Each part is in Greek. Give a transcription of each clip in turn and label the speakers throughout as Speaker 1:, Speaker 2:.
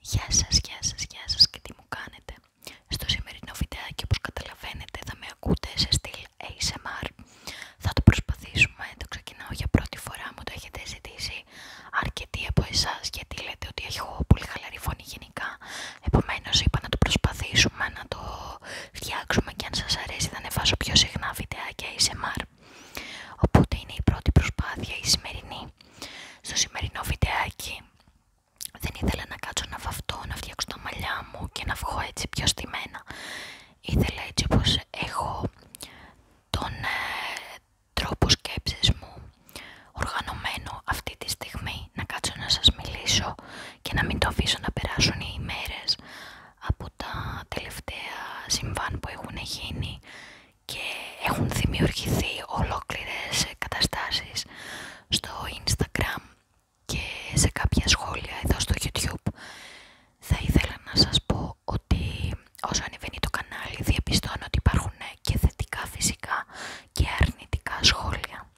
Speaker 1: Γεια σας, γεια σας, γεια σας και τι μου κάνετε. Στο σημερινό βιντεάκι όπως καταλαβαίνετε θα με ακούτε σε στυλ ASMR. Θα το προσπαθήσουμε, το ξεκινάω για πρώτη φορά, μου το έχετε ζητήσει αρκετοί από εσάς γιατί λέτε ότι έχω πολύ χαλαρή φωνή γενικά. Επομένως είπα να το προσπαθήσουμε, να το φτιάξουμε και αν σας αρέσει θα ανεβάσω πιο συχνά βιντεάκια ASMR. Οπότε είναι η πρώτη προσπάθεια η σημερινή. Στο σημερινό βιντεάκι δεν ήθελα να κάτσω να βαφτώ, να φτιάξω τα μαλλιά μου και να βγω έτσι πιο στημένα. Ήθελα έτσι όπως έχω τον ε, τρόπο σκέψης μου οργανωμένο αυτή τη στιγμή να κάτσω να σας μιλήσω και να μην το αφήσω να περάσουν οι ημέρες από τα τελευταία συμβάν που έχουν γίνει και έχουν δημιουργηθεί ολόκληρες καταστάσεις στο Instagram και σε κάποια σχόλια εδώ στο YouTube. Θα ήθελα να σας πω ότι όσο ανεβαίνει το κανάλι διαπιστώνω ότι υπάρχουν και θετικά φυσικά και αρνητικά σχόλια.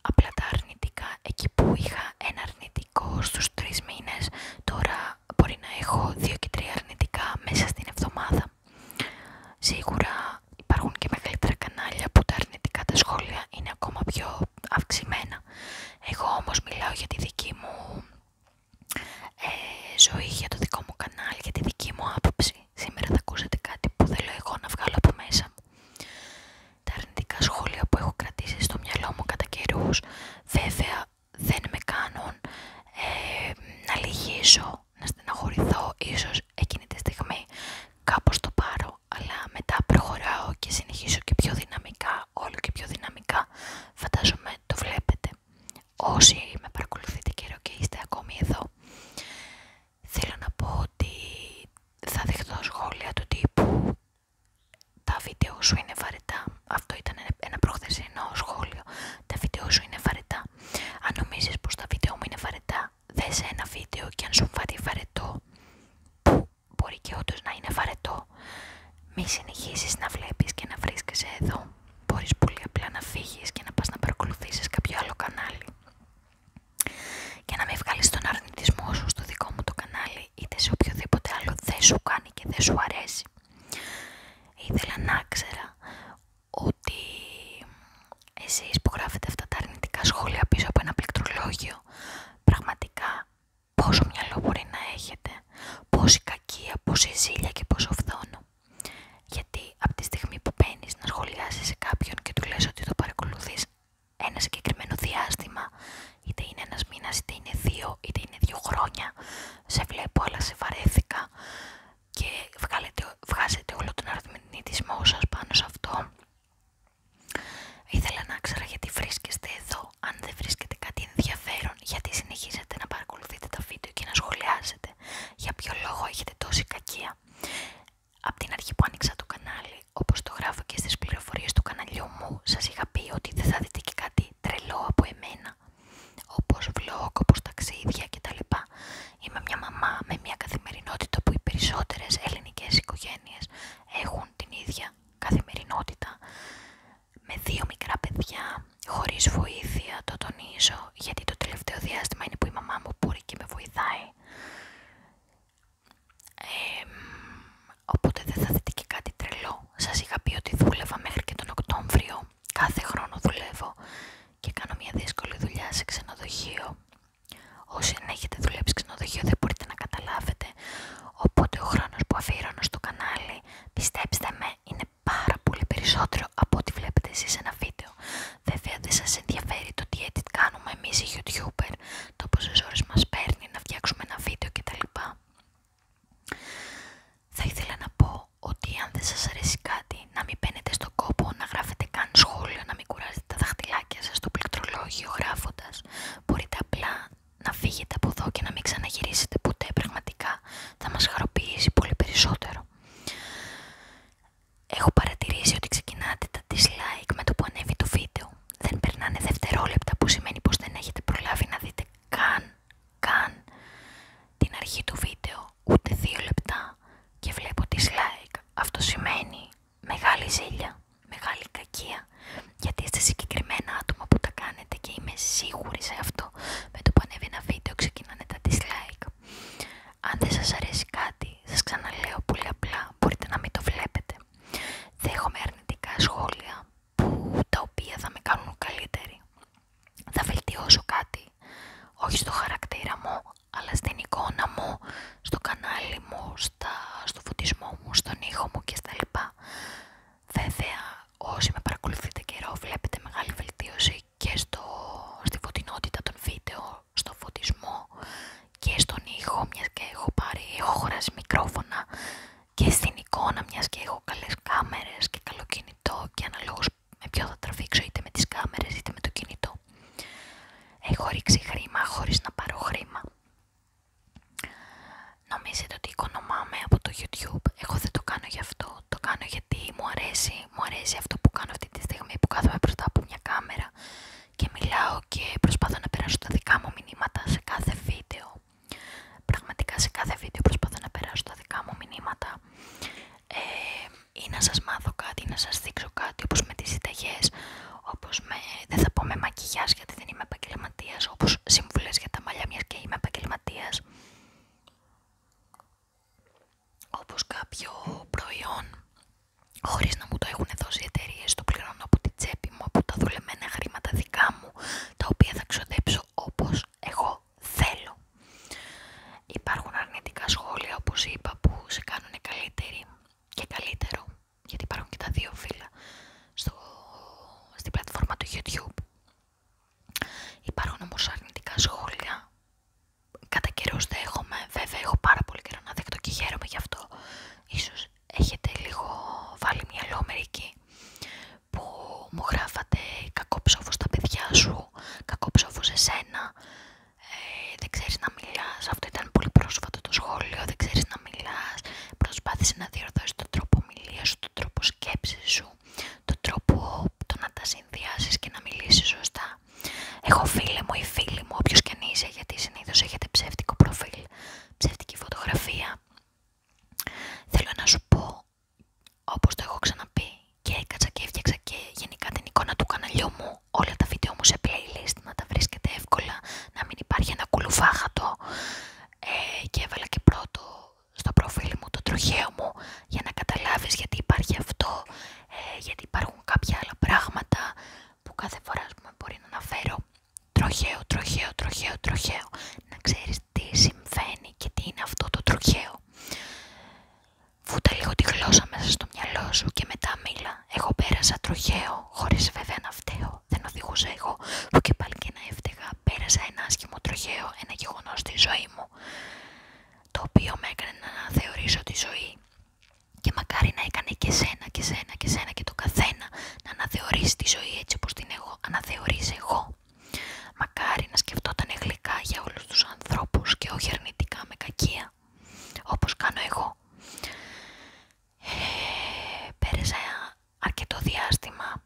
Speaker 1: Απλά τα αρνητικά, εκεί που είχα ένα αρνητικό στους τρεις μήνες, τώρα μπορεί να έχω δύο και τρία αρνητικά μέσα στην εβδομάδα. Σίγουρα υπάρχουν και μεγαλύτερα κανάλια που τα αρνητικά τα σχόλια είναι ακόμα πιο αυξημένα. Εγώ όμως μιλάω για τη δική μου ε, ζωή, για το δικό μου κανάλι, για τη δική μου άποψη. Σήμερα θα ακούσετε κάτι που θέλω εγώ να βγάλω από μέσα μου. Τα αρνητικά σχόλια που έχω κρατήσει στο μυαλό μου κατά καιρούς, βέβαια δεν με κάνουν ε, να λυγίσω, να στεναχωρηθώ ίσως εκείνη τη στιγμή κάπως το πάρω αλλά μετά προχωράω και συνεχίζω και πιο δυναμικά, όλο και πιο δυναμικά φαντάζομαι το βλέπετε όσοι με παρακολουθείτε καιρό και είστε ακόμη εδώ θέλω να πω ότι θα δεχτώ σχόλια του τύπου τα βίντεο σου είναι βαρετά αυτό ήταν ένα προχθεσινό σχόλιο. Τα βίντεο σου είναι βαρετά. Αν νομίζει πω τα βίντεο μου είναι βαρετά, δε ένα βίντεο και αν σου φάρει βαρετό, που μπορεί και όντω να είναι βαρετό, μη συνεχίσει να βλέπει και να βρίσκεσαι εδώ. Μπορεί πολύ απλά να φύγει και να πα να παρακολουθήσει κάποιο άλλο κανάλι. Και να μην βγάλει τον αρνητισμό σου στο δικό μου το κανάλι, είτε σε οποιοδήποτε άλλο δεν σου κάνει και δεν σου αρέσει. Ήθελα να ξέρα ότι εσείς που γράφετε αυτά τα αρνητικά σχόλια πίσω από ένα πληκτρολόγιο, πραγματικά πόσο μυαλό μπορεί να έχετε, πόση κακία, πόση ζήλια και πόσο φθόνο. Γιατί από τη στιγμή που μπαίνει να σχολιάσεις σε κάποιον και του λες ότι το παρακολουθείς ένα συγκεκριμένο διάστημα, είτε είναι ένας μήνας, είτε είναι δύο, είτε είναι δύο χρόνια, σε βλέπω αλλά σε βαρέθηκα και βγάλετε, βγάζετε όλο τον αρθμινισμό σας πάνω σε αυτό. Ήθελα να ξέρω γιατί βρίσκεστε εδώ, αν δεν βρίσκετε κάτι ενδιαφέρον, γιατί συνεχίζετε να παρακολουθείτε τα βίντεο και να σχολιάζετε, για ποιο λόγο έχετε τόση κακία. Από την αρχή που άνοιξα το κανάλι, όπως το γράφω και στις πληροφορίες του καναλιού μου, σας είχα πει ότι δεν θα δείτε και κάτι τρελό από εμένα όπως vlog, όπως ταξίδια κτλ. Είμαι μια μαμά με μια καθημερινότητα που οι περισσότερες ελληνικές οικογένειες έχουν την ίδια καθημερινότητα με δύο μικρά παιδιά, χωρίς βοήθεια, το τονίζω, γιατί το τελευταίο διάστημα είναι που η μαμά μου μπορεί και με βοηθάει. οπότε δεν θα δείτε και κάτι τρελό. Σας είχα πει ότι δούλευα μέχρι και τον Οκτώβριο Κάθε χρόνο δουλεύω και κάνω μια δύσκολη δουλειά σε ξενοδοχείο. Όσοι αν έχετε δουλέψει ξενοδοχείο δεν μπορείτε να καταλάβετε. Οπότε ο χρόνος που αφιερώνω στο κανάλι, πιστέψτε με, είναι πάρα πολύ περισσότερο από ό,τι βλέπετε εσείς σε ένα βίντεο. Βέβαια δεν σα ενδιαφέρει το τι κάνουμε εμείς οι youtuber, το πόσες ώρες μας παίρνει να φτιάξουμε ένα βίντεο κτλ. Θα ήθελα να πω ότι αν δεν σας αρέσει κάτι να μην μπαίνετε στον κόπο, να γράφετε καν σχόλιο, να μην κουράζετε τα δαχτυλάκια σας στο πληκτρολόγιο γράφοντας. Μπορείτε απλά να φύγετε από εδώ και να μην ξαναγυρίσετε ποτέ πραγματικά. Θα μας χαροποιήσει πολύ περισσότερο. Έχω παρατηρήσει ότι ξεκινάτε τα dislike με το που ανέβει το βίντεο. Δεν περνάνε δευτερόλεπτα που σημαίνει πως δεν έχετε προλάβει να δείτε καν καν την αρχή του βίντεο, ούτε δύο λεπτά και βλέπω dislike. Αυτό σημαίνει μεγάλη ζήλια, μεγάλη κακία, γιατί είστε συγκεκριμένα άτομα που τα κάνετε και είμαι σίγουρη σε αυτό. Με το πανεύει ένα βίντεο ξεκινάνε τα dislike. Αν δεν σας αρέσει κάτι, σας ξαναλέω πολύ απλά, μπορείτε να μην το βλέπετε. Δέχομαι αρνητικά σχόλια που, τα οποία θα με κάνουν καλύτερη. Θα βελτιώσω κάτι, όχι στο χαρακτήρα μου, αλλά στην εικόνα μου, στο κανάλι μου, στο φωτισμό μου, στον ήχο μου και Βέβαια, όσοι με παρακολουθείτε καιρό βλέπετε μεγάλη βελτίωση και στο, στη φωτεινότητα των βίντεο, στο φωτισμό και στον ήχο, μιας και έχω πάρει, έχω μικρόφωνα και στην εικόνα μιας και έχω καλές κάμερες και καλό κινητό και αναλόγως με ποιο θα τραβήξω είτε με τις κάμερες είτε με το κινητό. Έχω ρίξει χρήμα χωρίς να πάρω χρήμα. Νομίζετε ότι οικονομάμαι από το YouTube. Εγώ δεν το κάνω γι' αυτό. Το κάνω γιατί μου αρέσει, μου αρέσει αυτό που κάνω αυτή τη στιγμή που κάθομαι μπροστά από μια κάμερα και μιλάω και προσπαθώ να περάσω τα δικά μου μηνύματα σε κάθε βίντεο Πραγματικά σε κάθε βίντεο προσπαθώ να περάσω τα δικά μου μηνύματα ε, ή να σας μάθω κάτι ή να σας δείξω κάτι όπως με τις συνταγές, όπως με, δεν θα πω με μακιγιάζ γιατί δεν είμαι επαγγελματία, όπως συμβουλές για τα μαλλιά μιας και είμαι επαγγελματία. Όπως κάποιο προϊόν χωρίς να μου το έχουν δώσει οι εταιρείε, το πληρώνω από την τσέπη μου, από τα δουλεμένα χρήματα δικά μου, τα οποία θα ξοδέψω όπως εγώ θέλω. Υπάρχουν αρνητικά σχόλια όπως είπα που σε κάνουν καλύτερη και καλύτερο γιατί υπάρχουν και τα δύο φύλλα στο, στην πλατφόρμα του YouTube. Υπάρχουν όμως αρνητικά σχόλια. Κατά τα δέχομαι, βέβαια έχω πάρα πολύ καιρό να δεχτώ και χαίρομαι γι' αυτό. Ίσως έχετε λίγο βάλει μυαλό μερικοί που μου γράφατε ψόφο στα παιδιά σου», ψόφο σε σένα», ε, «Δεν ξέρεις να μιλάς», αυτό ήταν πολύ πρόσφατο το σχόλιο, «Δεν ξέρεις να μιλάς», «Προσπάθησε να διορθώσεις τον τρόπο μιλίας σου, τον τρόπο σκέψης σου, τον τρόπο το να τα συνδυάσεις και να μιλήσεις σωστά». έχω φίλε μου ή φίλοι μου, όποιος και αν είσαι, γιατί συνήθως έχετε ψεύτικο προφίλ, ψεύτικη φωτογραφία, θέλω να σου πω Όπω όπως το έχω ξαναπεί και έκατσα και έφτιαξα και γενικά την εικόνα του καναλιού μου, όλα τα βίντεο μου σε playlist να τα βρίσκετε εύκολα, να μην υπάρχει ένα κουλουφάχατο ε, και έβαλα και πρώτο στο προφίλ μου το τροχαίο μου για να καταλάβεις γιατί υπάρχει αυτό, ε, γιατί υπάρχουν κάποια άλλα πράγματα που κάθε φορά μπορεί να αναφέρω τροχαίο, τροχαίο, τροχαίο, τροχαίο. Να ξέρεις τι συμβαίνει και τι είναι αυτό το τροχαίο. Φούτα λίγο τη γλώσσα μέσα στο μυαλό σου και μετά μίλα. Εγώ πέρασα τροχαίο, χωρίς βέβαια να φταίω. Δεν οδηγούσα εγώ, που και πάλι και να έφταιγα. Πέρασα ένα άσχημο τροχαίο, ένα γεγονό στη ζωή μου. Το οποίο με έκανε να αναθεωρήσω τη ζωή. Και μακάρι να έκανε και σένα και σένα και σένα και το καθένα να αναθεωρήσει τη ζωή έτσι όπως την έχω αναθεωρήσει εγώ. Μακάρι να σκεφτόταν γλυκά για όλους τους ανθρώπους και όχι αρνητικά με κακία, όπως κάνω εγώ. Ε, πέρασα αρκετό διάστημα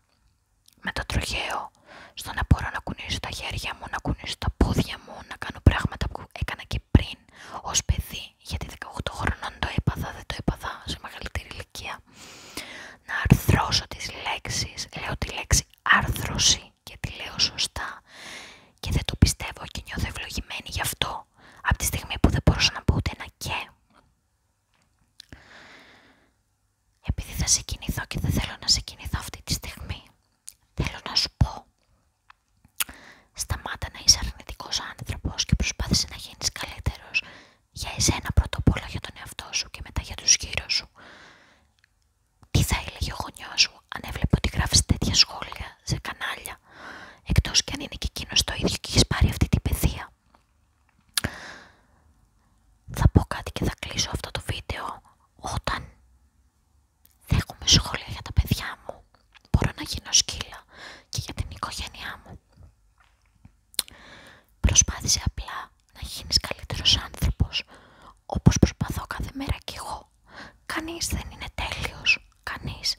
Speaker 1: με το τροχαίο στο να μπορώ να κουνήσω τα χέρια μου, να κουνήσω τα πόδια μου, να κάνω πράγματα που έκανα και πριν ως παιδί, γιατί 18 χρονών το έπαθα, δεν το έπαθα σε μεγαλύτερη ηλικία να αρθρώσω τις λέξεις, λέω τη λέξη άρθρωση και τη λέω σωστά και δεν το πιστεύω και νιώθω ευλογημένη γι' αυτό από τη στιγμή που δεν μπορούσα να πω ούτε ένα και. Επειδή θα σε και δεν θέλω να σε κινηθώ αυτή τη στιγμή, θέλω να σου πω σταμάτα να είσαι αρνητικός άνθρωπος και προσπάθησε να γίνεις καλύτερος για εσένα πρώτα απ' για τον εαυτό σου και μετά για τους γύρω σου. Τι θα έλεγε ο γονιό σου αν έβλεπε ότι γράφει τέτοια σχόλια σε κανάλια, Εκτός και αν είναι και εκείνο το ίδιο και έχει πάρει αυτή την παιδεία. Θα πω κάτι και θα κλείσω αυτό το βίντεο. Όταν δέχομαι σχόλια για τα παιδιά μου, μπορώ να γίνω σκύλα και για την οικογένειά μου. Προσπάθησε απλά να γίνεις καλύτερος άνθρωπος, όπως προσπαθώ κάθε μέρα κι εγώ. Κανείς δεν είναι τέλειος, κανείς.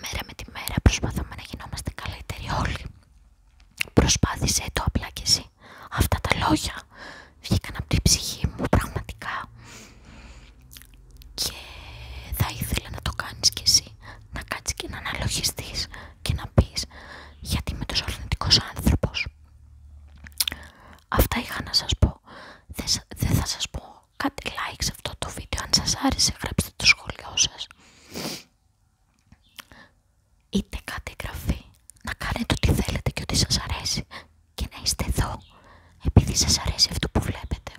Speaker 1: Μέρα με τη μέρα προσπαθούμε να γινόμαστε καλύτεροι όλοι. Προσπάθησε το απλά κι εσύ. Αυτά τα λόγια βγήκαν από την ψυχή μου πραγματικά. Και θα ήθελα να το κάνεις κι εσύ να κάτσεις και να αναλογιστείς και να πεις γιατί είμαι τόσο αρνητικός άνθρωπος. Αυτά είχα να σας πω. Δεν θα σας πω κάτι like σε αυτό το βίντεο. Αν σας άρεσε γράψτε το σχόλιο σας. Είτε κάτι εγγραφή. Να κάνετε ό,τι θέλετε και ό,τι σας αρέσει. Και να είστε εδώ επειδή σας αρέσει αυτό που βλέπετε.